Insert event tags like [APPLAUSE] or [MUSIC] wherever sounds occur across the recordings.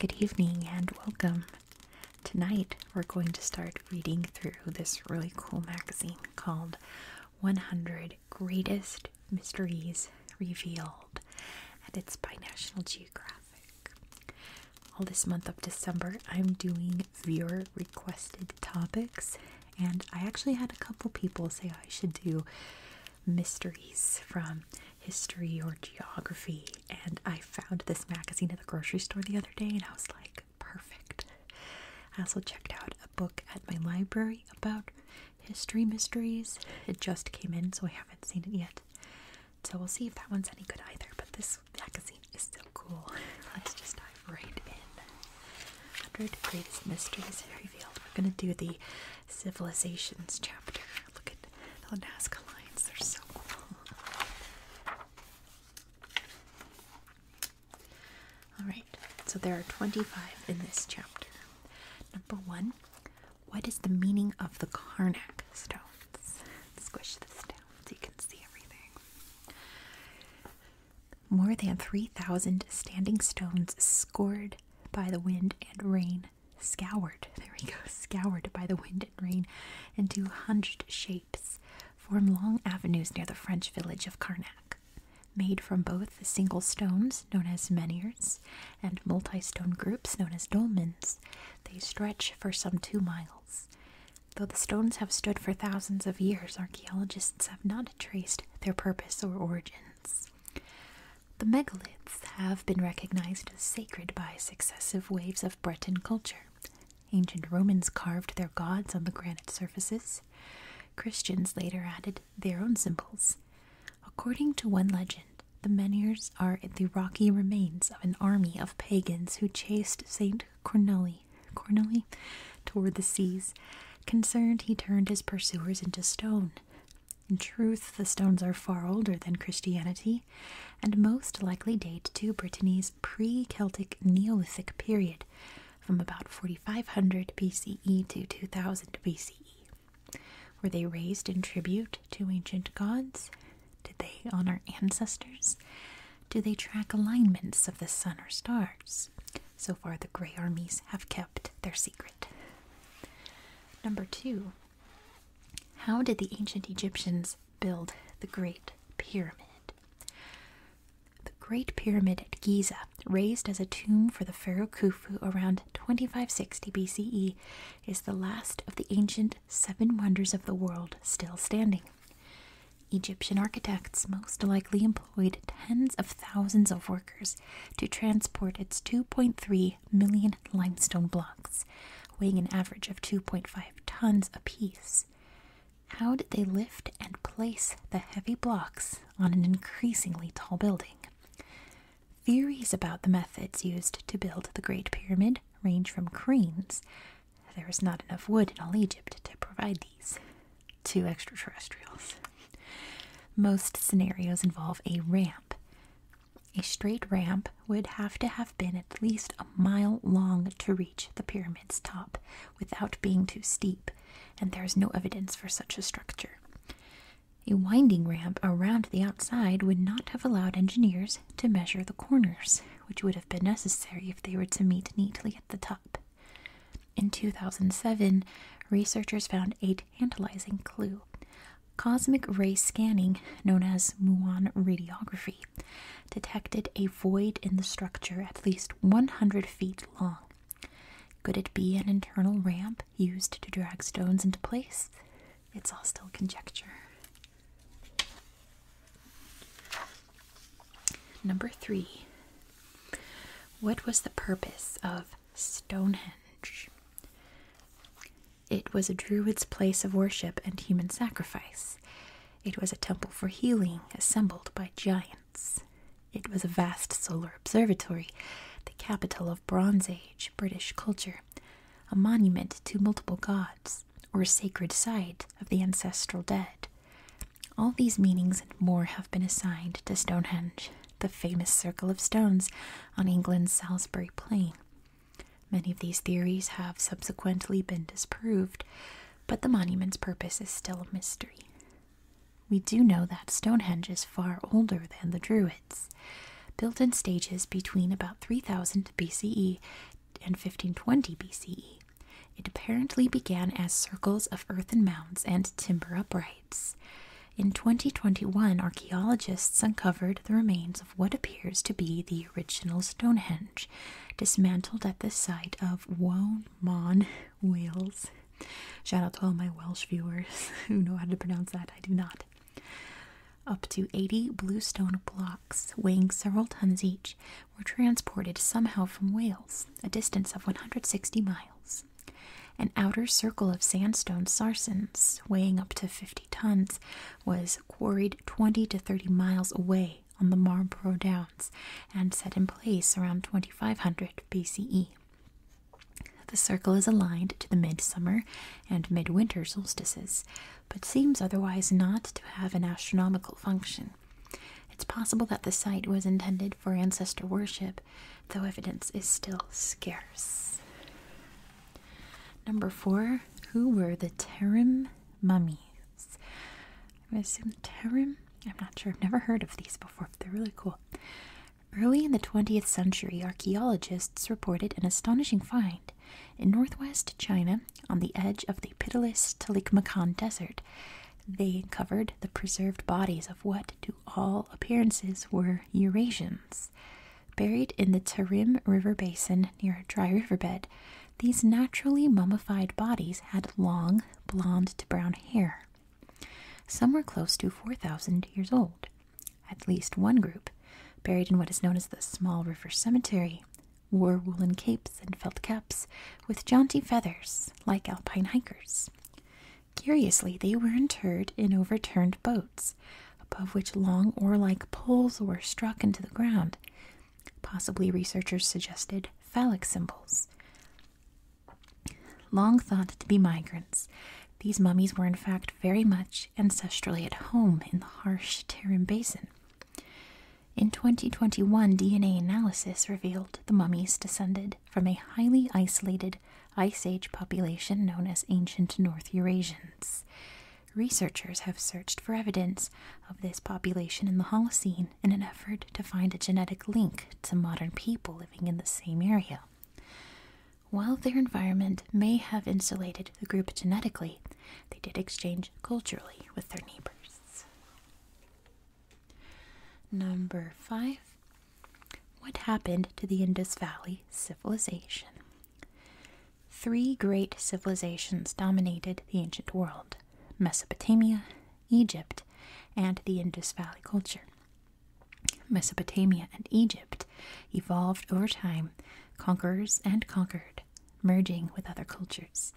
Good evening and welcome. Tonight we're going to start reading through this really cool magazine called 100 Greatest Mysteries Revealed, and it's by National Geographic all this month of December, I'm doing viewer requested topics, and I actually had a couple people say I should do mysteries from history or geography. And I found this magazine at the grocery store the other day, and I was like, perfect. I also checked out a book at my library about history mysteries. It just came in, so I haven't seen it yet. So we'll see if that one's any good either. But this magazine is so cool. Let's just dive right in. 100 Greatest Mysteries Revealed. We're going to do the Civilizations chapter. Look at the Nazca lines. They're so cool. Alright, so there are 25 in this chapter. Number one, what is the meaning of the Karnak stones? Squish this down so you can see everything. More than 3,000 standing stones scored by the wind and rain, scoured, there we go, scoured by the wind and rain into hunched shapes, form long avenues near the French village of Karnak, made from both single stones, known as menhirs, and multi stone groups, known as dolmens. They stretch for some two miles. Though the stones have stood for thousands of years, archaeologists have not traced their purpose or origins. The megaliths have been recognized as sacred by successive waves of Breton culture. Ancient Romans carved their gods on the granite surfaces. Christians later added their own symbols. According to one legend, the menhirs are the rocky remains of an army of pagans who chased Saint Cornelli, Cornelli toward the seas. Concerned, he turned his pursuers into stone. In truth, the stones are far older than Christianity, and most likely date to Brittany's pre Celtic Neolithic period, from about 4500 BCE to 2000 BCE. Were they raised in tribute to ancient gods? Did they honor ancestors? Do they track alignments of the sun or stars? So far, the Grey Armies have kept their secret. Number two, how did the ancient Egyptians build the Great Pyramid? The Great Pyramid at Giza, raised as a tomb for the pharaoh Khufu around 2560 BCE, is the last of the ancient seven wonders of the world still standing. Egyptian architects most likely employed tens of thousands of workers to transport its 2.3 million limestone blocks, weighing an average of 2.5 tons apiece. How did they lift and place the heavy blocks on an increasingly tall building? Theories about the methods used to build the Great Pyramid range from cranes there is not enough wood in all Egypt to provide these two extraterrestrials. Most scenarios involve a ramp. A straight ramp would have to have been at least a mile long to reach the pyramid's top without being too steep, and there is no evidence for such a structure. A winding ramp around the outside would not have allowed engineers to measure the corners which would have been necessary if they were to meet neatly at the top. In 2007, researchers found a tantalizing clue. Cosmic ray scanning, known as muon radiography, detected a void in the structure at least 100 feet long. Could it be an internal ramp used to drag stones into place? It's all still conjecture. Number three, what was the purpose of Stonehenge? It was a druid's place of worship and human sacrifice. It was a temple for healing assembled by giants. It was a vast solar observatory, the capital of Bronze Age British culture, a monument to multiple gods or sacred site of the ancestral dead. All these meanings and more have been assigned to Stonehenge, the famous circle of stones on England's Salisbury Plain. Many of these theories have subsequently been disproved, but the monument's purpose is still a mystery. We do know that Stonehenge is far older than the Druids, built in stages between about 3000 BCE and 1520 BCE. It apparently began as circles of earthen mounds and timber uprights. In 2021, archaeologists uncovered the remains of what appears to be the original Stonehenge, dismantled at the site of Woamon, Wales. Shout out to all my Welsh viewers [LAUGHS] who know how to pronounce that. I do not. Up to 80 bluestone blocks, weighing several tons each, were transported somehow from Wales, a distance of 160 miles. An outer circle of sandstone sarsens, weighing up to 50 tons, was quarried 20 to 30 miles away on the Marlborough Downs and set in place around 2500 BCE. The circle is aligned to the midsummer and midwinter solstices but seems otherwise not to have an astronomical function. It's possible that the site was intended for ancestor worship, though evidence is still scarce. Number four, who were the Tarim mummies? I'm going to assume Tarim? I'm not sure. I've never heard of these before, but they're really cool. Early in the 20th century, archaeologists reported an astonishing find in northwest China, on the edge of the pitiless Talikmakan Desert, they covered the preserved bodies of what, to all appearances, were Eurasians. Buried in the Tarim River basin near a dry riverbed, these naturally mummified bodies had long, blond to brown hair. Some were close to 4,000 years old. At least one group, buried in what is known as the Small River Cemetery, wore woolen capes and felt caps with jaunty feathers like alpine hikers. Curiously, they were interred in overturned boats, above which long oar like poles were struck into the ground. Possibly researchers suggested phallic symbols. Long thought to be migrants, these mummies were in fact very much ancestrally at home in the harsh Tarim Basin. In 2021, DNA analysis revealed the mummies descended from a highly isolated Ice Age population known as ancient North Eurasians. Researchers have searched for evidence of this population in the Holocene in an effort to find a genetic link to modern people living in the same area. While their environment may have insulated the group genetically, they did exchange culturally with their neighbors. Number five. What happened to the Indus Valley civilization? Three great civilizations dominated the ancient world Mesopotamia, Egypt, and the Indus Valley culture. Mesopotamia and Egypt evolved over time, conquerors and conquered merging with other cultures.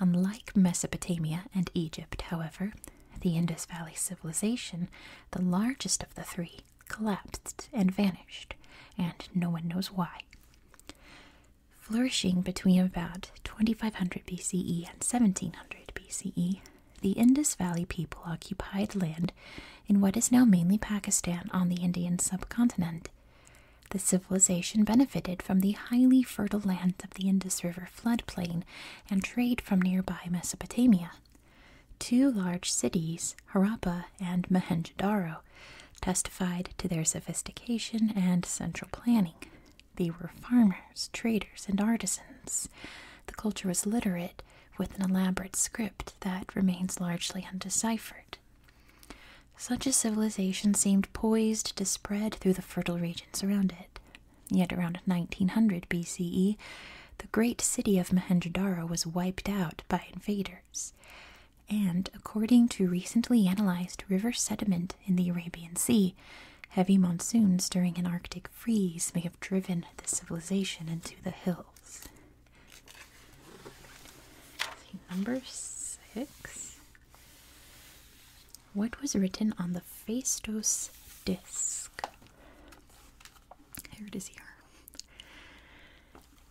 Unlike Mesopotamia and Egypt, however, the Indus Valley civilization, the largest of the three, collapsed and vanished, and no one knows why. Flourishing between about 2500 BCE and 1700 BCE, the Indus Valley people occupied land in what is now mainly Pakistan on the Indian subcontinent the civilization benefited from the highly fertile lands of the Indus River floodplain and trade from nearby Mesopotamia. Two large cities, Harappa and Mohenjo-daro, testified to their sophistication and central planning. They were farmers, traders, and artisans. The culture was literate, with an elaborate script that remains largely undeciphered. Such a civilization seemed poised to spread through the fertile regions around it. Yet around 1900 BCE, the great city of mohenjo was wiped out by invaders. And according to recently analyzed river sediment in the Arabian Sea, heavy monsoons during an Arctic freeze may have driven the civilization into the hills number six. What was written on the Phaistos disc? Here it is here.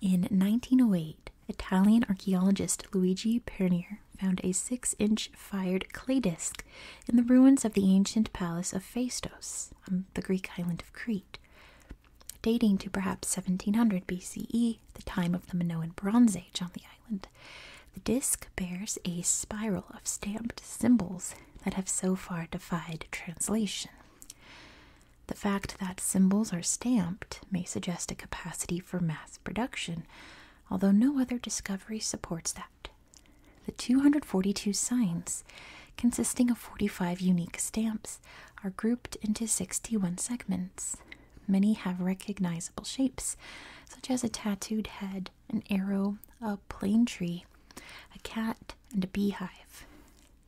In 1908, Italian archaeologist Luigi Pernier found a six inch fired clay disc in the ruins of the ancient palace of Phaistos on the Greek island of Crete dating to perhaps 1700 BCE, the time of the Minoan Bronze Age on the island. The disc bears a spiral of stamped symbols that have so far defied translation. The fact that symbols are stamped may suggest a capacity for mass production, although no other discovery supports that. The 242 signs, consisting of 45 unique stamps, are grouped into 61 segments. Many have recognizable shapes, such as a tattooed head, an arrow, a plane tree, a cat, and a beehive.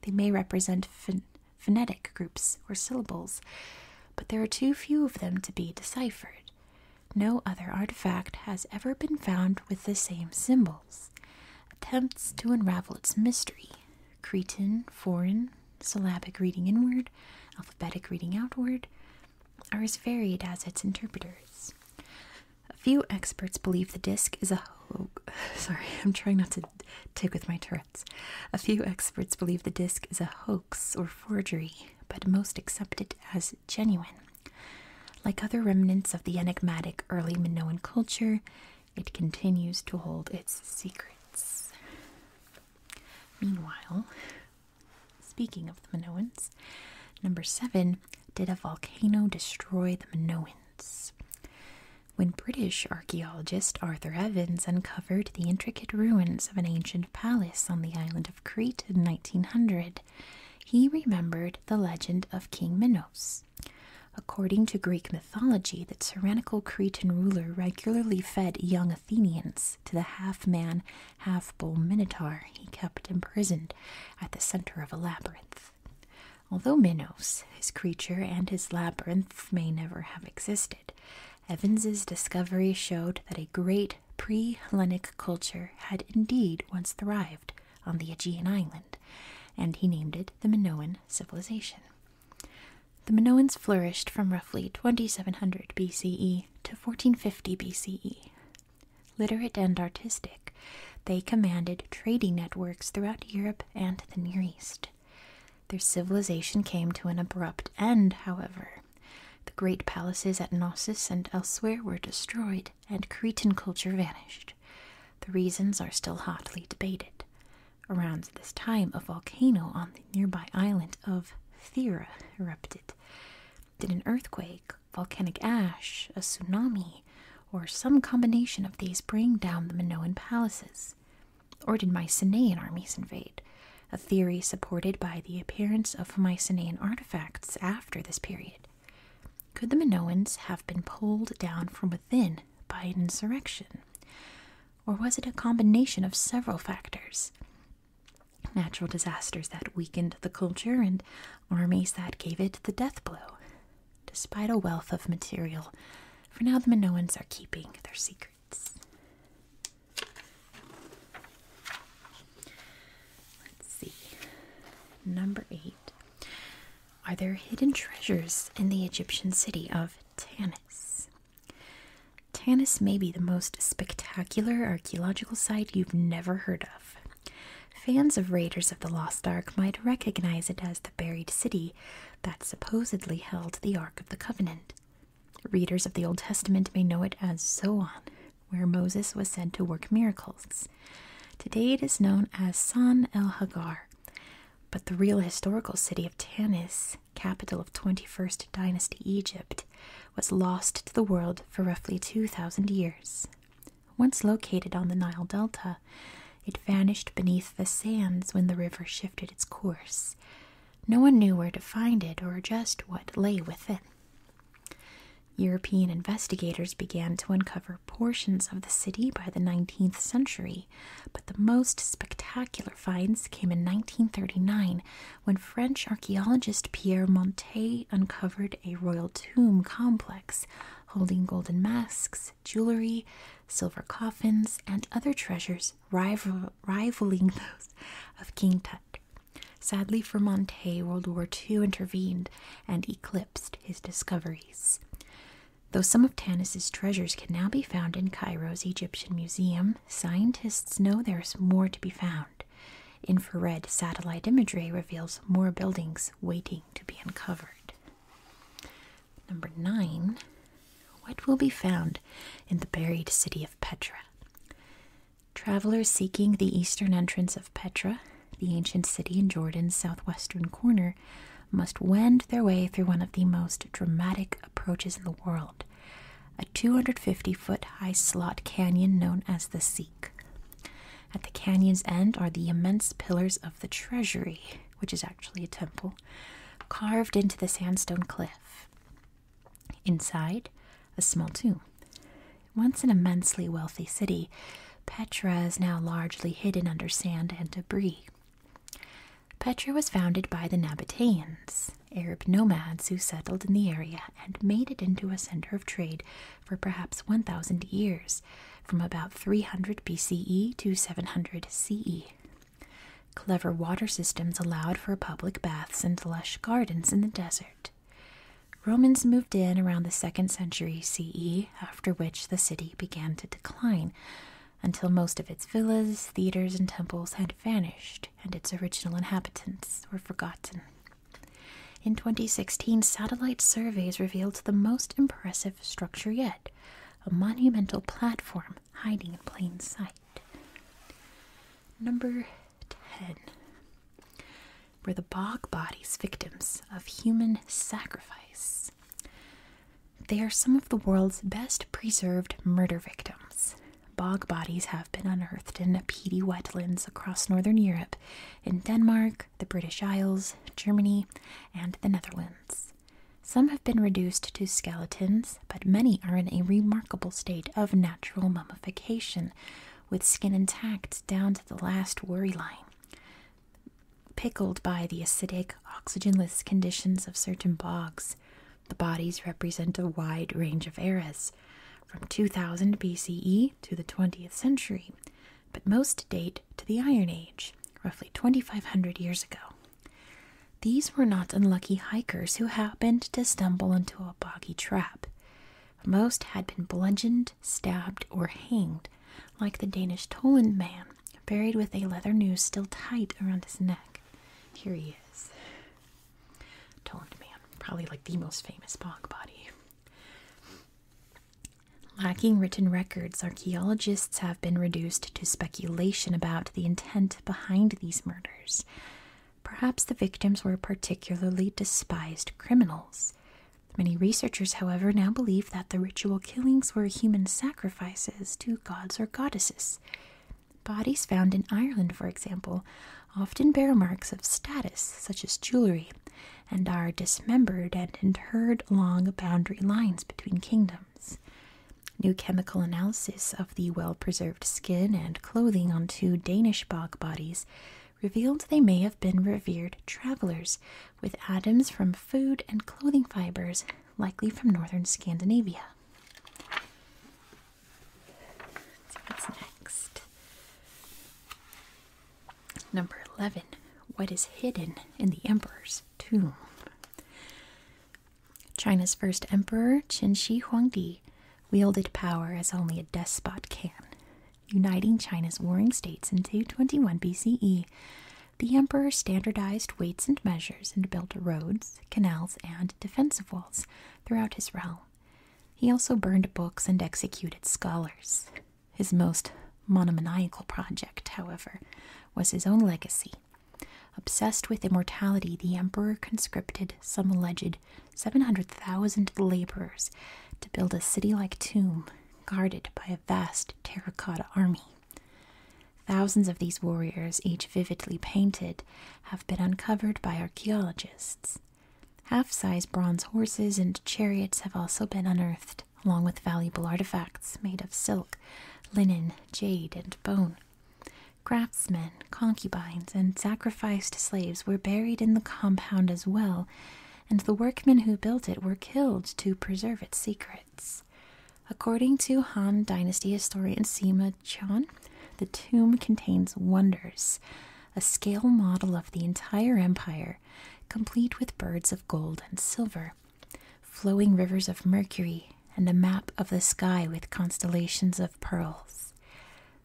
They may represent phonetic groups or syllables, but there are too few of them to be deciphered. No other artifact has ever been found with the same symbols. Attempts to unravel its mystery Cretan, foreign, syllabic reading inward, alphabetic reading outward, are as varied as its interpreters. A few experts believe the disc is a hoax. [LAUGHS] Sorry, I'm trying not to tick with my turrets. A few experts believe the disc is a hoax or forgery, but most accept it as genuine. Like other remnants of the enigmatic early Minoan culture, it continues to hold its secrets. Meanwhile, speaking of the Minoans, number seven did a volcano destroy the Minoans? When British archaeologist Arthur Evans uncovered the intricate ruins of an ancient palace on the island of Crete in 1900, he remembered the legend of King Minos. According to Greek mythology, the tyrannical Cretan ruler regularly fed young Athenians to the half man, half bull minotaur he kept imprisoned at the center of a labyrinth. Although Minos, his creature, and his labyrinth may never have existed, Evans's discovery showed that a great pre Hellenic culture had indeed once thrived on the Aegean island, and he named it the Minoan civilization. The Minoans flourished from roughly 2700 BCE to 1450 BCE. Literate and artistic, they commanded trading networks throughout Europe and the Near East. Their civilization came to an abrupt end, however. The great palaces at Knossos and elsewhere were destroyed, and Cretan culture vanished. The reasons are still hotly debated. Around this time, a volcano on the nearby island of Thera erupted. Did an earthquake, volcanic ash, a tsunami, or some combination of these bring down the Minoan palaces? Or did Mycenaean armies invade? A theory supported by the appearance of Mycenaean artifacts after this period. Could the Minoans have been pulled down from within by an insurrection? Or was it a combination of several factors? Natural disasters that weakened the culture and armies that gave it the death blow. Despite a wealth of material, for now the Minoans are keeping their secrets. Let's see. Number eight are there hidden treasures in the Egyptian city of Tanis? Tanis may be the most spectacular archaeological site you've never heard of. Fans of Raiders of the Lost Ark might recognize it as the buried city that supposedly held the Ark of the Covenant. Readers of the Old Testament may know it as Zoan, where Moses was said to work miracles. Today it is known as San el Hagar, but the real historical city of Tanis, capital of 21st Dynasty Egypt, was lost to the world for roughly 2,000 years. Once located on the Nile Delta, it vanished beneath the sands when the river shifted its course. No one knew where to find it or just what lay within. European investigators began to uncover portions of the city by the 19th century but the most spectacular finds came in 1939 when French archaeologist Pierre Montet uncovered a royal tomb complex holding golden masks, jewelry, silver coffins, and other treasures rivaling those of King Tut. Sadly for Montet, World War II intervened and eclipsed his discoveries. Though some of Tanis's treasures can now be found in Cairo's Egyptian Museum, scientists know there's more to be found. Infrared satellite imagery reveals more buildings waiting to be uncovered. Number 9. What will be found in the buried city of Petra? Travelers seeking the eastern entrance of Petra, the ancient city in Jordan's southwestern corner, must wend their way through one of the most dramatic approaches in the world a 250 foot high slot canyon known as the Seek. At the canyon's end are the immense pillars of the Treasury, which is actually a temple, carved into the sandstone cliff. Inside, a small tomb. Once an immensely wealthy city, Petra is now largely hidden under sand and debris. Petra was founded by the Nabataeans, Arab nomads who settled in the area and made it into a center of trade for perhaps 1,000 years, from about 300 BCE to 700 CE. Clever water systems allowed for public baths and lush gardens in the desert. Romans moved in around the 2nd century CE, after which the city began to decline, until most of its villas, theaters, and temples had vanished and its original inhabitants were forgotten. In 2016, satellite surveys revealed the most impressive structure yet a monumental platform hiding in plain sight. Number 10 were the bog bodies victims of human sacrifice. They are some of the world's best preserved murder victims. Bog bodies have been unearthed in peaty wetlands across northern Europe, in Denmark, the British Isles, Germany, and the Netherlands. Some have been reduced to skeletons, but many are in a remarkable state of natural mummification, with skin intact down to the last worry line pickled by the acidic, oxygenless conditions of certain bogs. The bodies represent a wide range of eras, from 2000 BCE to the 20th century, but most date to the Iron Age, roughly 2500 years ago. These were not unlucky hikers who happened to stumble into a boggy trap. Most had been bludgeoned, stabbed, or hanged, like the Danish Tollund man, buried with a leather noose still tight around his neck. Here he is. Tollund man, probably like the most famous bog body. Lacking written records, archaeologists have been reduced to speculation about the intent behind these murders. Perhaps the victims were particularly despised criminals. Many researchers, however, now believe that the ritual killings were human sacrifices to gods or goddesses. Bodies found in Ireland, for example, often bear marks of status, such as jewelry, and are dismembered and interred along boundary lines between kingdoms. New chemical analysis of the well preserved skin and clothing on two Danish bog bodies revealed they may have been revered travelers with atoms from food and clothing fibers, likely from northern Scandinavia. what's next? Number 11. What is hidden in the emperor's tomb? China's first emperor, Qin Shi Huangdi, wielded power as only a despot can, uniting China's warring states in 221 BCE the emperor standardized weights and measures and built roads, canals, and defensive walls throughout his realm. He also burned books and executed scholars. His most monomaniacal project, however, was his own legacy. Obsessed with immortality, the emperor conscripted some alleged 700,000 laborers to build a city like tomb guarded by a vast terracotta army. Thousands of these warriors, each vividly painted, have been uncovered by archaeologists. Half size bronze horses and chariots have also been unearthed, along with valuable artifacts made of silk, linen, jade, and bone. Craftsmen, concubines, and sacrificed slaves were buried in the compound as well, and the workmen who built it were killed to preserve its secret. According to Han Dynasty historian Sima Chon, the tomb contains wonders, a scale model of the entire empire, complete with birds of gold and silver, flowing rivers of mercury, and a map of the sky with constellations of pearls.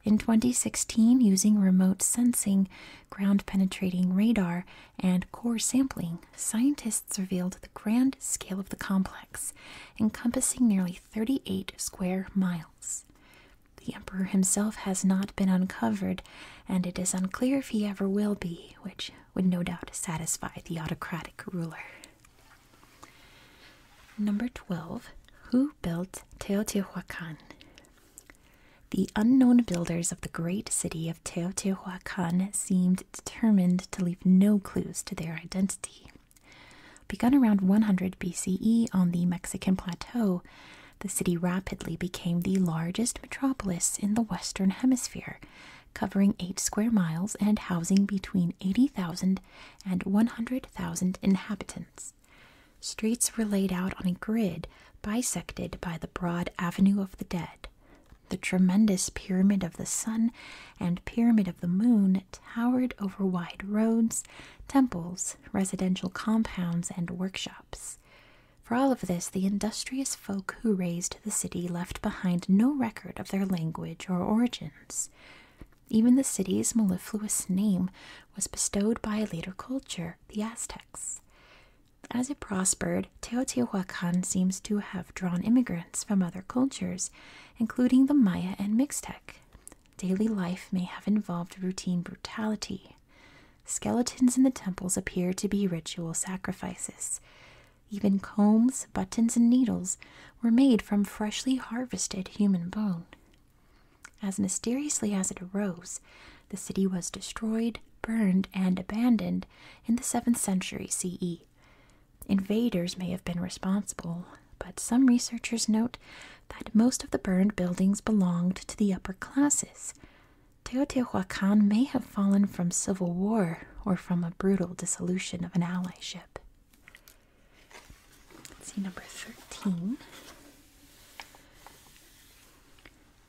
In 2016, using remote sensing, ground penetrating radar, and core sampling, scientists revealed the grand scale of the complex, encompassing nearly 38 square miles. The emperor himself has not been uncovered, and it is unclear if he ever will be, which would no doubt satisfy the autocratic ruler. Number 12. Who built Teotihuacan? The unknown builders of the great city of Teotihuacan seemed determined to leave no clues to their identity. Begun around 100 BCE on the Mexican plateau, the city rapidly became the largest metropolis in the Western Hemisphere, covering 8 square miles and housing between 80,000 and 100,000 inhabitants. Streets were laid out on a grid bisected by the broad Avenue of the Dead, the tremendous pyramid of the sun and pyramid of the moon towered over wide roads, temples, residential compounds, and workshops. For all of this, the industrious folk who raised the city left behind no record of their language or origins. Even the city's mellifluous name was bestowed by a later culture, the Aztecs. As it prospered, Teotihuacan seems to have drawn immigrants from other cultures, including the Maya and Mixtec. Daily life may have involved routine brutality. Skeletons in the temples appear to be ritual sacrifices. Even combs, buttons, and needles were made from freshly harvested human bone. As mysteriously as it arose, the city was destroyed, burned, and abandoned in the 7th century CE. Invaders may have been responsible, but some researchers note that most of the burned buildings belonged to the upper classes. Teotihuacan may have fallen from civil war or from a brutal dissolution of an allyship. Let's see, number 13.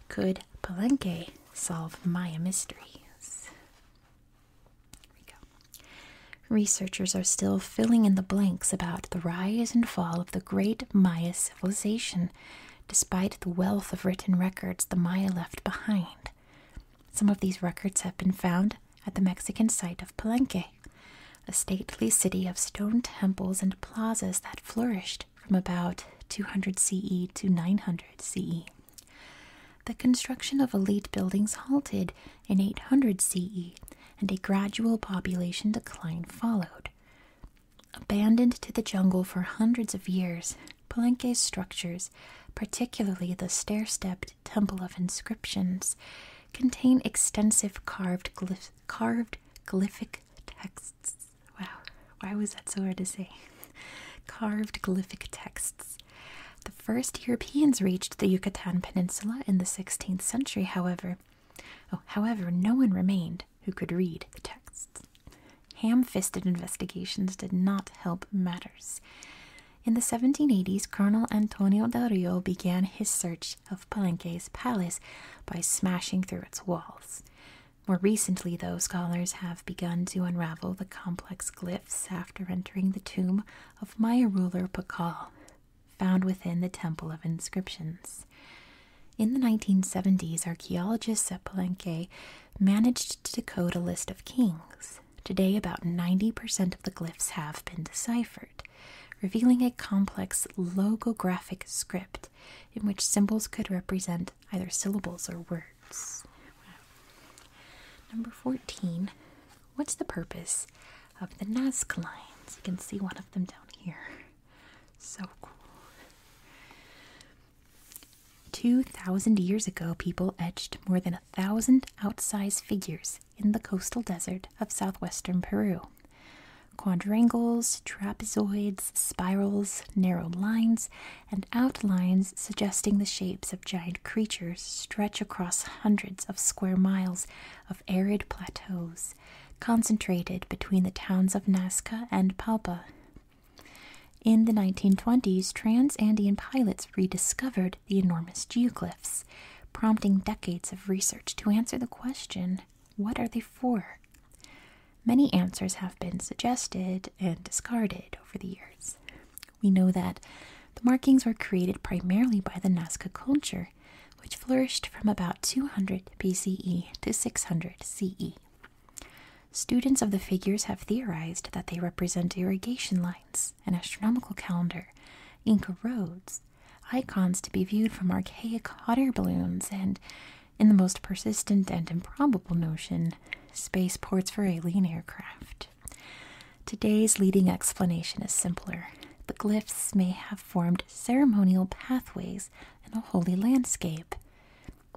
Could Palenque solve Maya mysteries? Researchers are still filling in the blanks about the rise and fall of the great Maya civilization, despite the wealth of written records the Maya left behind. Some of these records have been found at the Mexican site of Palenque, a stately city of stone temples and plazas that flourished from about 200 CE to 900 CE. The construction of elite buildings halted in 800 CE, and a gradual population decline followed. Abandoned to the jungle for hundreds of years, Palenque's structures, particularly the stair stepped Temple of Inscriptions, contain extensive carved, carved glyphic texts. Wow. Why was that so hard to say? Carved glyphic texts. The first Europeans reached the Yucatan Peninsula in the 16th century, however. Oh, however, no one remained who could read the texts. Ham fisted investigations did not help matters. In the 1780s, Colonel Antonio del Rio began his search of Palenque's palace by smashing through its walls. More recently, though, scholars have begun to unravel the complex glyphs after entering the tomb of Maya ruler Pakal, found within the Temple of Inscriptions. In the 1970s, archaeologists at Palenque managed to decode a list of kings. Today, about 90% of the glyphs have been deciphered, revealing a complex logographic script in which symbols could represent either syllables or words. Number 14. What's the purpose of the Nazca lines? You can see one of them down here. So cool. 2,000 years ago, people etched more than a thousand outsized figures in the coastal desert of southwestern Peru. Quadrangles, trapezoids, spirals, narrow lines, and outlines suggesting the shapes of giant creatures stretch across hundreds of square miles of arid plateaus, concentrated between the towns of Nazca and Palpa. In the 1920s, trans Andean pilots rediscovered the enormous geoglyphs, prompting decades of research to answer the question what are they for? Many answers have been suggested and discarded over the years. We know that the markings were created primarily by the Nazca culture, which flourished from about 200 BCE to 600 CE. Students of the figures have theorized that they represent irrigation lines, an astronomical calendar, Inca roads, icons to be viewed from archaic hot air balloons, and in the most persistent and improbable notion spaceports for alien aircraft. Today's leading explanation is simpler. The glyphs may have formed ceremonial pathways in a holy landscape.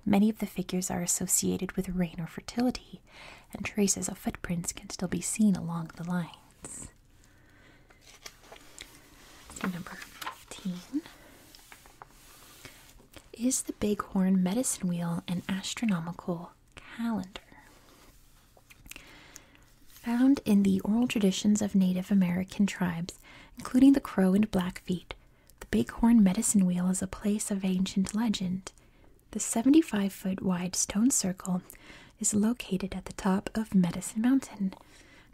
Many of the figures are associated with rain or fertility, and traces of footprints can still be seen along the lines. number 15 is the bighorn medicine wheel an astronomical calendar? Found in the oral traditions of Native American tribes, including the Crow and Blackfeet, the bighorn medicine wheel is a place of ancient legend. The 75 foot wide stone circle is located at the top of Medicine Mountain,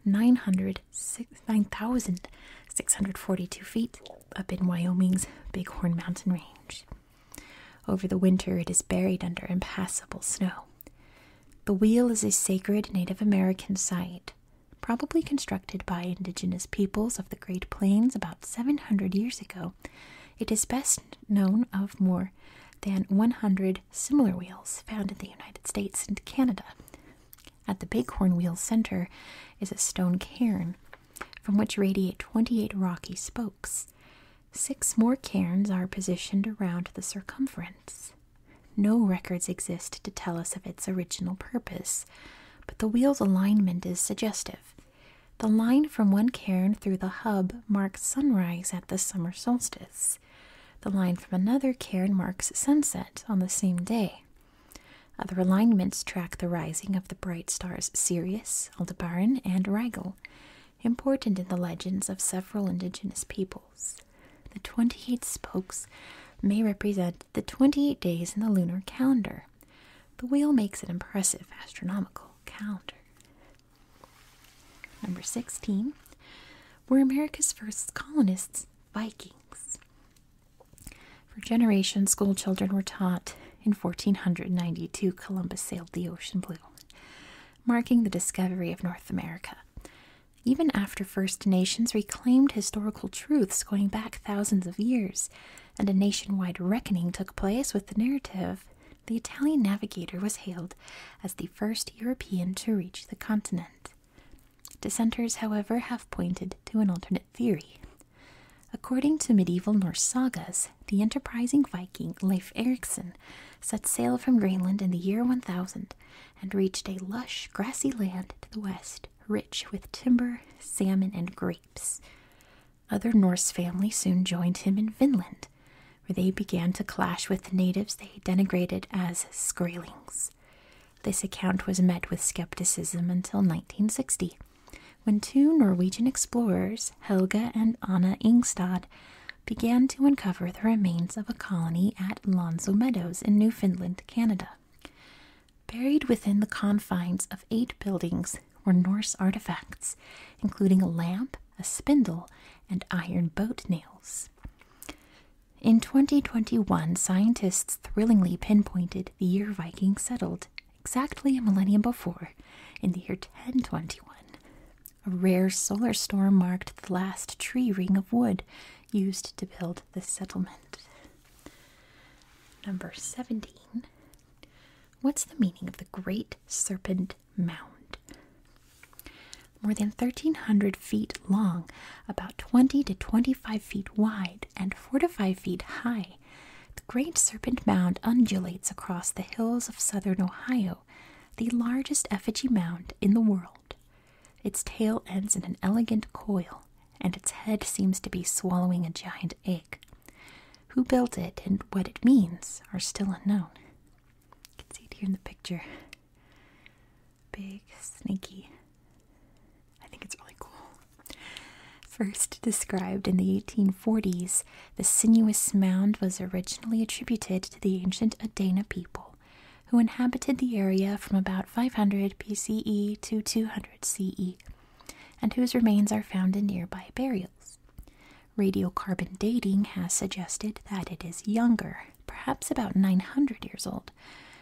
9,642 feet up in Wyoming's Bighorn Mountain Range. Over the winter, it is buried under impassable snow. The wheel is a sacred Native American site, probably constructed by indigenous peoples of the Great Plains about 700 years ago. It is best known of more than 100 similar wheels found in the United States and Canada. At the Bighorn Wheel Center is a stone cairn from which radiate 28 rocky spokes. Six more cairns are positioned around the circumference. No records exist to tell us of its original purpose, but the wheel's alignment is suggestive. The line from one cairn through the hub marks sunrise at the summer solstice. The line from another cairn marks sunset on the same day. Other alignments track the rising of the bright stars Sirius, Aldebaran, and Rigel, important in the legends of several indigenous peoples. The 28 spokes may represent the 28 days in the lunar calendar. The wheel makes an impressive astronomical calendar. Number 16 were America's first colonists Vikings. For generations, schoolchildren were taught in 1492 Columbus sailed the ocean blue, marking the discovery of North America. Even after First Nations reclaimed historical truths going back thousands of years, and a nationwide reckoning took place with the narrative, the Italian navigator was hailed as the first European to reach the continent. Dissenters, however, have pointed to an alternate Theory, According to medieval Norse sagas, the enterprising Viking Leif Erikson set sail from Greenland in the year 1000 and reached a lush, grassy land to the west, rich with timber, salmon, and grapes. Other Norse families soon joined him in Finland, where they began to clash with the natives they denigrated as Skraelings. This account was met with skepticism until 1960, when two Norwegian explorers, Helga and Anna Ingstad, began to uncover the remains of a colony at Lonzo Meadows in Newfoundland, Canada. Buried within the confines of eight buildings were Norse artifacts, including a lamp, a spindle, and iron boat nails. In 2021, scientists thrillingly pinpointed the year Vikings settled exactly a millennium before, in the year 1021. A rare solar storm marked the last tree ring of wood used to build the settlement. Number 17. What's the meaning of the Great Serpent Mound? More than 1,300 feet long, about 20 to 25 feet wide, and 4 to 5 feet high, the Great Serpent Mound undulates across the hills of southern Ohio, the largest effigy mound in the world. Its tail ends in an elegant coil, and its head seems to be swallowing a giant egg. Who built it and what it means are still unknown. You can see it here in the picture. Big, snaky I think it's really cool. First described in the 1840s, the sinuous mound was originally attributed to the ancient Adena people, who inhabited the area from about 500 BCE to 200 CE, and whose remains are found in nearby burials. Radiocarbon dating has suggested that it is younger, perhaps about 900 years old,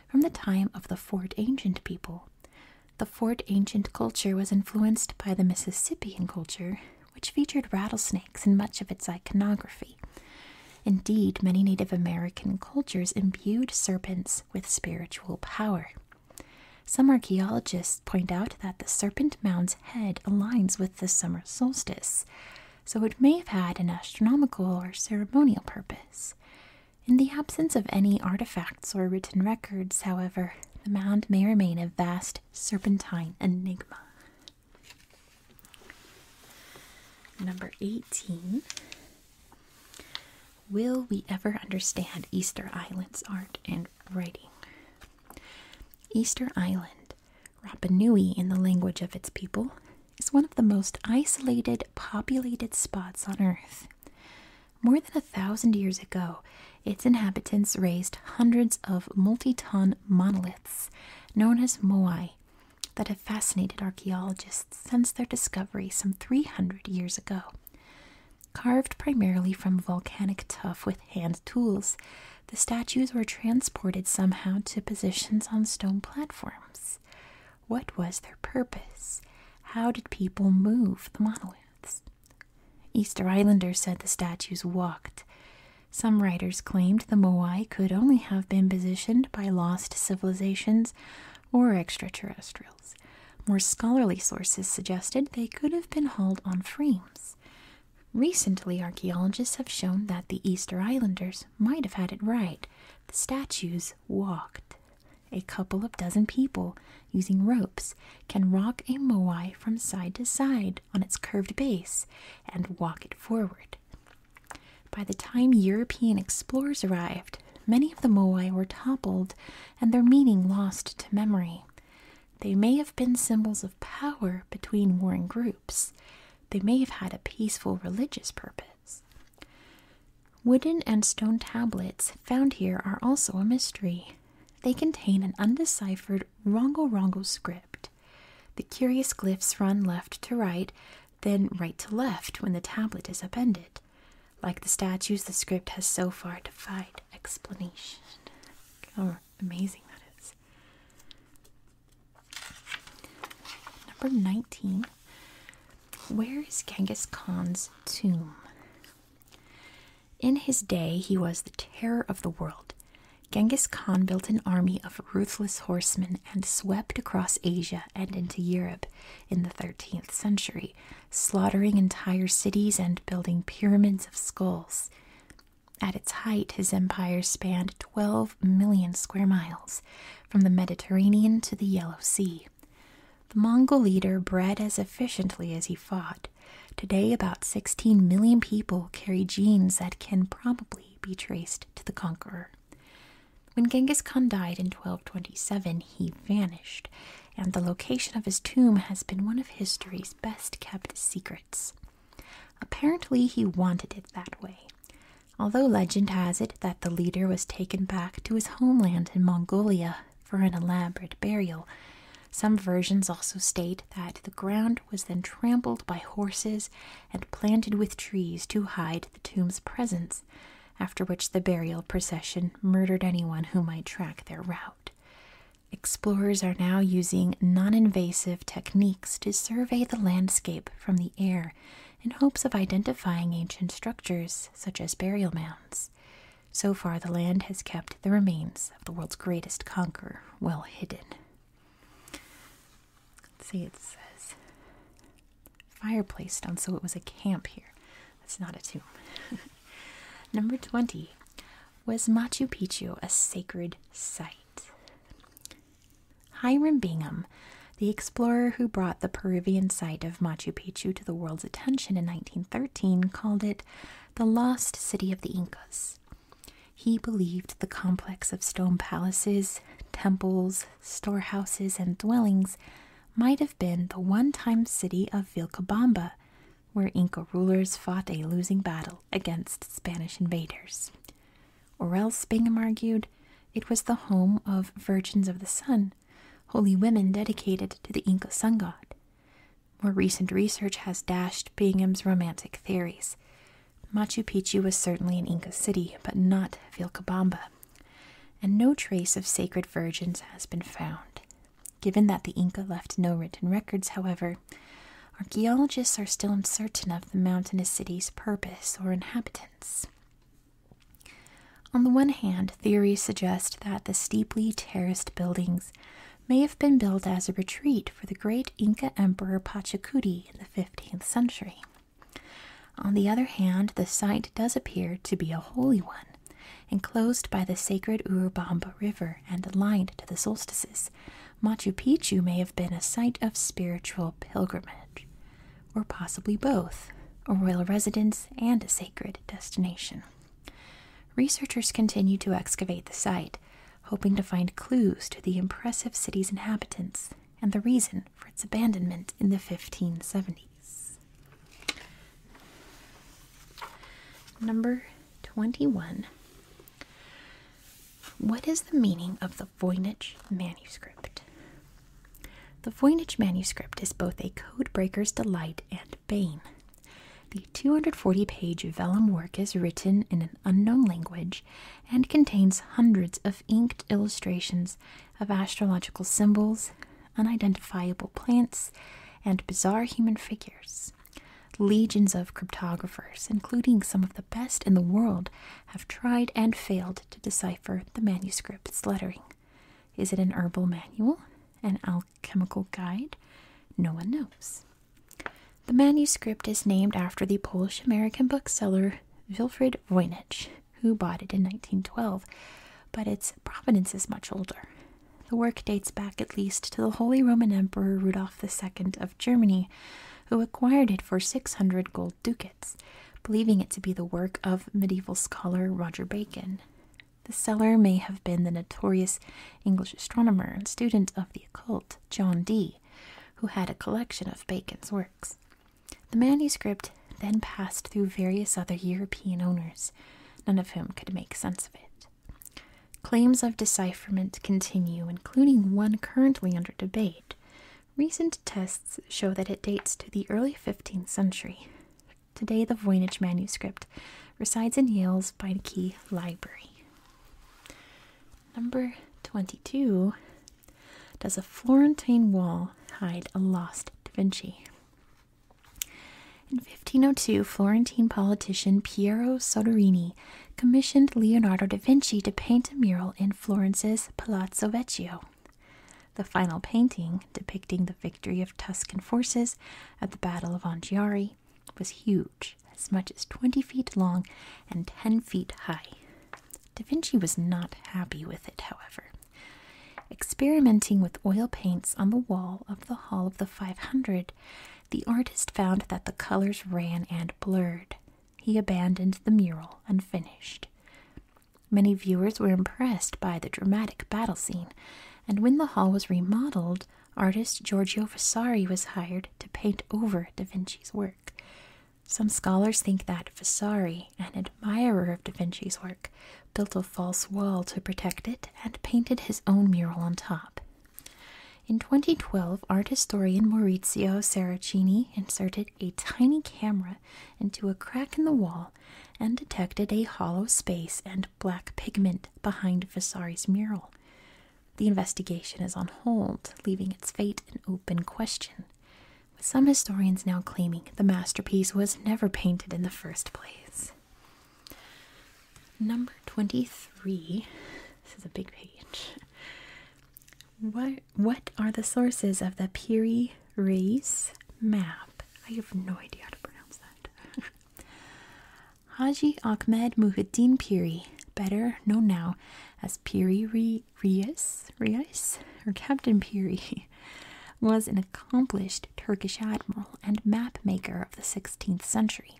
from the time of the Fort Ancient people, the fort ancient culture was influenced by the Mississippian culture, which featured rattlesnakes in much of its iconography. Indeed, many Native American cultures imbued serpents with spiritual power. Some archaeologists point out that the serpent mound's head aligns with the summer solstice, so it may have had an astronomical or ceremonial purpose. In the absence of any artifacts or written records, however, the mound may remain a vast serpentine enigma. Number 18. Will we ever understand Easter Island's art and writing? Easter Island, Rapa Nui in the language of its people, is one of the most isolated, populated spots on Earth. More than a thousand years ago, its inhabitants raised hundreds of multi ton monoliths known as moai that have fascinated archaeologists since their discovery some 300 years ago. Carved primarily from volcanic tuff with hand tools, the statues were transported somehow to positions on stone platforms. What was their purpose? How did people move the monoliths? Easter Islanders said the statues walked. Some writers claimed the Moai could only have been positioned by lost civilizations or extraterrestrials. More scholarly sources suggested they could have been hauled on frames. Recently, archaeologists have shown that the Easter Islanders might have had it right. The statues walked. A couple of dozen people, using ropes, can rock a moai from side to side on its curved base and walk it forward. By the time European explorers arrived, many of the moai were toppled and their meaning lost to memory. They may have been symbols of power between warring groups. They may have had a peaceful religious purpose. Wooden and stone tablets found here are also a mystery. They contain an undeciphered Rongo Rongo script. The curious glyphs run left to right, then right to left when the tablet is upended. Like the statues, the script has so far defied explanation. How amazing that is. Number 19. Where is Genghis Khan's tomb? In his day, he was the terror of the world. Genghis Khan built an army of ruthless horsemen and swept across Asia and into Europe in the 13th century, slaughtering entire cities and building pyramids of skulls. At its height, his empire spanned 12 million square miles, from the Mediterranean to the Yellow Sea. The Mongol leader bred as efficiently as he fought. Today, about 16 million people carry genes that can probably be traced to the conqueror. When Genghis Khan died in 1227, he vanished, and the location of his tomb has been one of history's best kept secrets. Apparently, he wanted it that way. Although legend has it that the leader was taken back to his homeland in Mongolia for an elaborate burial. Some versions also state that the ground was then trampled by horses and planted with trees to hide the tomb's presence, after which the burial procession murdered anyone who might track their route. Explorers are now using non invasive techniques to survey the landscape from the air in hopes of identifying ancient structures such as burial mounds. So far, the land has kept the remains of the world's greatest conqueror well hidden. Let's see, it says fireplace stone, so it was a camp here. That's not a tomb. [LAUGHS] Number 20. Was Machu Picchu a sacred site? Hiram Bingham the explorer who brought the Peruvian site of Machu Picchu to the world's attention in 1913 called it the lost city of the Incas. He believed the complex of stone palaces, temples, storehouses, and dwellings might have been the one time city of Vilcabamba, where Inca rulers fought a losing battle against Spanish invaders. or else Spingham argued it was the home of Virgins of the Sun, holy women dedicated to the Inca sun god. More recent research has dashed Bingham's romantic theories. Machu Picchu was certainly an Inca city, but not Vilcabamba, and no trace of sacred virgins has been found. Given that the Inca left no written records, however, archaeologists are still uncertain of the mountainous city's purpose or inhabitants. On the one hand, theories suggest that the steeply terraced buildings may have been built as a retreat for the great Inca emperor Pachacuti in the 15th century. On the other hand, the site does appear to be a holy one, enclosed by the sacred Urubamba River and aligned to the solstices. Machu Picchu may have been a site of spiritual pilgrimage or possibly both, a royal residence and a sacred destination. Researchers continue to excavate the site, hoping to find clues to the impressive city's inhabitants and the reason for its abandonment in the 1570s. Number 21. What is the meaning of the Voynich manuscript? The Voynich manuscript is both a codebreaker's delight and bane. The 240 page vellum work is written in an unknown language and contains hundreds of inked illustrations of astrological symbols, unidentifiable plants, and bizarre human figures. Legions of cryptographers, including some of the best in the world, have tried and failed to decipher the manuscript's lettering. Is it an herbal manual? An alchemical guide? No one knows. The manuscript is named after the Polish American bookseller Wilfred Voynich, who bought it in 1912, but its provenance is much older. The work dates back at least to the Holy Roman Emperor Rudolf II of Germany, who acquired it for 600 gold ducats believing it to be the work of medieval scholar Roger Bacon. The seller may have been the notorious English astronomer and student of the occult, John Dee, who had a collection of Bacon's works. The manuscript then passed through various other European owners, none of whom could make sense of it. Claims of decipherment continue, including one currently under debate. Recent tests show that it dates to the early 15th century, Today, the Voynich manuscript resides in Yale's Beinecke Library. Number 22 Does a Florentine wall hide a lost Da Vinci? In 1502, Florentine politician Piero Soderini commissioned Leonardo da Vinci to paint a mural in Florence's Palazzo Vecchio. The final painting, depicting the victory of Tuscan forces at the Battle of Anghiari, was huge, as much as 20 feet long and 10 feet high. Da Vinci was not happy with it, however. Experimenting with oil paints on the wall of the Hall of the 500, the artist found that the colors ran and blurred. He abandoned the mural unfinished. Many viewers were impressed by the dramatic battle scene, and when the hall was remodeled, artist Giorgio Vasari was hired to paint over Da Vinci's work. Some scholars think that Vasari, an admirer of Da Vinci's work, built a false wall to protect it and painted his own mural on top. In 2012, art historian Maurizio Saracini inserted a tiny camera into a crack in the wall and detected a hollow space and black pigment behind Vasari's mural. The investigation is on hold, leaving its fate an open question, with some historians now claiming the masterpiece was never painted in the first place. Number 23. This is a big page. What, what are the sources of the Piri Reis Map. I have no idea how to pronounce that. [LAUGHS] Haji Ahmed Muhyiddin Piri, better known now as Piri Reis, Reis or Captain Piri, [LAUGHS] was an accomplished Turkish admiral and map maker of the 16th century.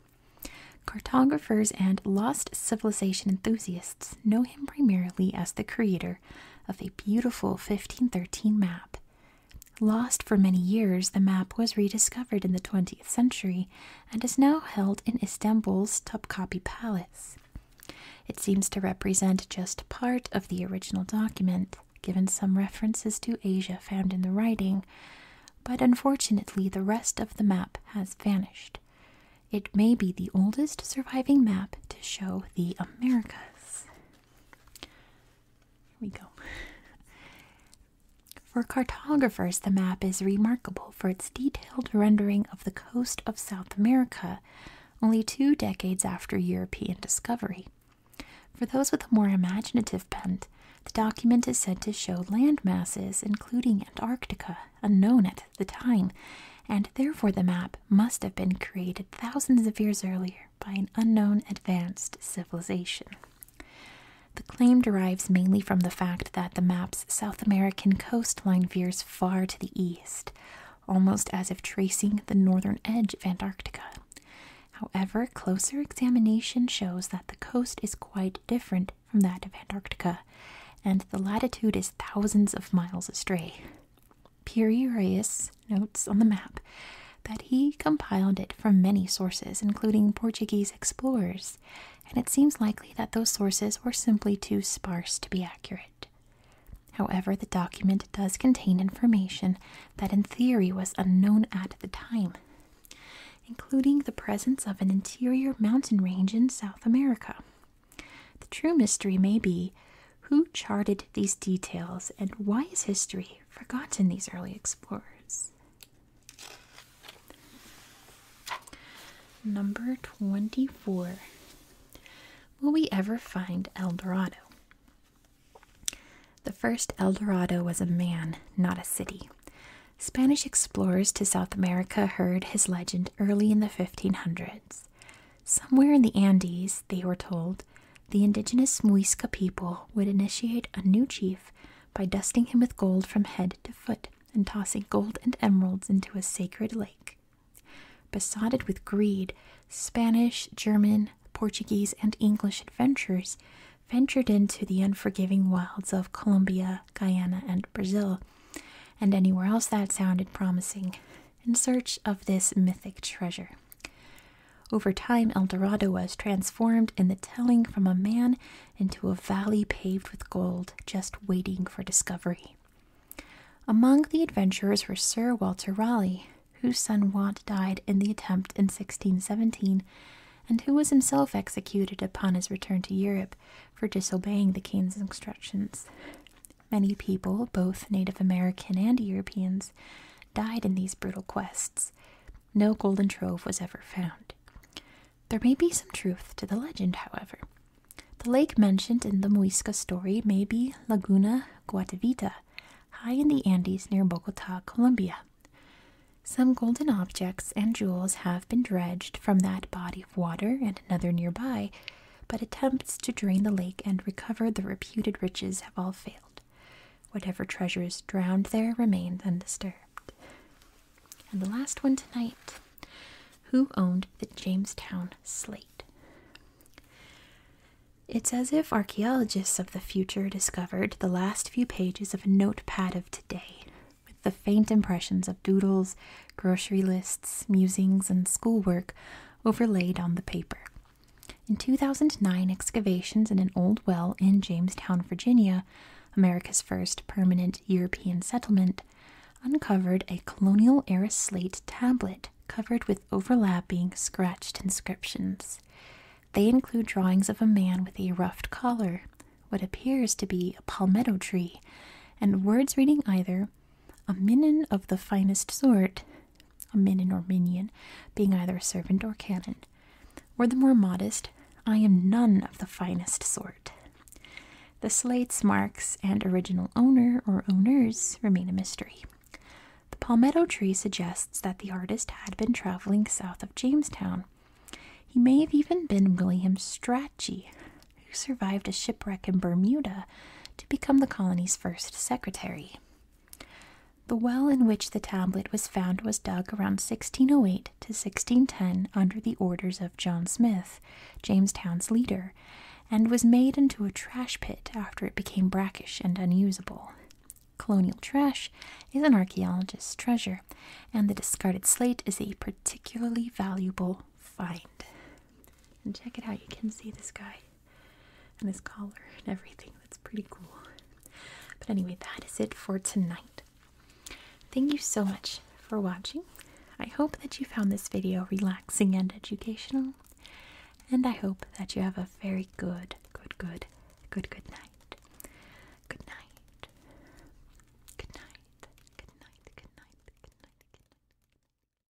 Cartographers and lost civilization enthusiasts know him primarily as the creator of a beautiful 1513 map. Lost for many years, the map was rediscovered in the 20th century and is now held in Istanbul's Topkapi Palace. It seems to represent just part of the original document, given some references to Asia found in the writing, but unfortunately the rest of the map has vanished. It may be the oldest surviving map to show the Americas. Here we go. [LAUGHS] For cartographers, the map is remarkable for its detailed rendering of the coast of South America only two decades after European discovery. For those with a more imaginative bent, the document is said to show land masses, including Antarctica, unknown at the time, and therefore the map must have been created thousands of years earlier by an unknown advanced civilization. The claim derives mainly from the fact that the map's South American coastline veers far to the east, almost as if tracing the northern edge of Antarctica. However, closer examination shows that the coast is quite different from that of Antarctica, and the latitude is thousands of miles astray. Pirireus notes on the map that he compiled it from many sources, including Portuguese explorers, and it seems likely that those sources were simply too sparse to be accurate. However, the document does contain information that in theory was unknown at the time, including the presence of an interior mountain range in South America. The true mystery may be who charted these details and why is history forgotten these early explorers? Number 24. Will we ever find El Dorado? The first El Dorado was a man, not a city. Spanish explorers to South America heard his legend early in the 1500s. Somewhere in the Andes, they were told, the indigenous Muisca people would initiate a new chief by dusting him with gold from head to foot and tossing gold and emeralds into a sacred lake. Besotted with greed, Spanish, German, Portuguese, and English adventurers ventured into the unforgiving wilds of Colombia, Guyana, and Brazil, and anywhere else that sounded promising in search of this mythic treasure. Over time, El Dorado was transformed in the telling from a man into a valley paved with gold, just waiting for discovery. Among the adventurers were Sir Walter Raleigh, whose son Wat died in the attempt in 1617, and who was himself executed upon his return to Europe for disobeying the king's instructions. Many people, both Native American and Europeans, died in these brutal quests. No golden trove was ever found. There may be some truth to the legend, however. The lake mentioned in the Muisca story may be Laguna Guatavita, high in the Andes near Bogota, Colombia. Some golden objects and jewels have been dredged from that body of water and another nearby but attempts to drain the lake and recover the reputed riches have all failed. Whatever treasures drowned there remained undisturbed. And the last one tonight Who owned the Jamestown slate? It's as if archaeologists of the future discovered the last few pages of a notepad of today, with the faint impressions of doodles, grocery lists, musings, and schoolwork overlaid on the paper. In 2009, excavations in an old well in Jamestown, Virginia, America's first permanent European settlement, uncovered a colonial era slate tablet covered with overlapping scratched inscriptions. They include drawings of a man with a ruffed collar, what appears to be a palmetto tree, and words reading either a minin of the finest sort a minion or minion, being either a servant or canon, or the more modest, I am none of the finest sort. The slate's marks and original owner or owners remain a mystery. The palmetto tree suggests that the artist had been traveling south of Jamestown. He may have even been William Strachey, who survived a shipwreck in Bermuda to become the colony's first secretary. The well in which the tablet was found was dug around 1608 to 1610 under the orders of John Smith, Jamestown's leader, and was made into a trash pit after it became brackish and unusable. Colonial trash is an archaeologist's treasure, and the discarded slate is a particularly valuable find. And check it out, you can see this guy and his collar and everything. That's pretty cool. But anyway, that is it for tonight. Thank you so much for watching. I hope that you found this video relaxing and educational. And I hope that you have a very good, good, good, good, good night. Good night. Good night. Good night. Good night. Good night. Good night.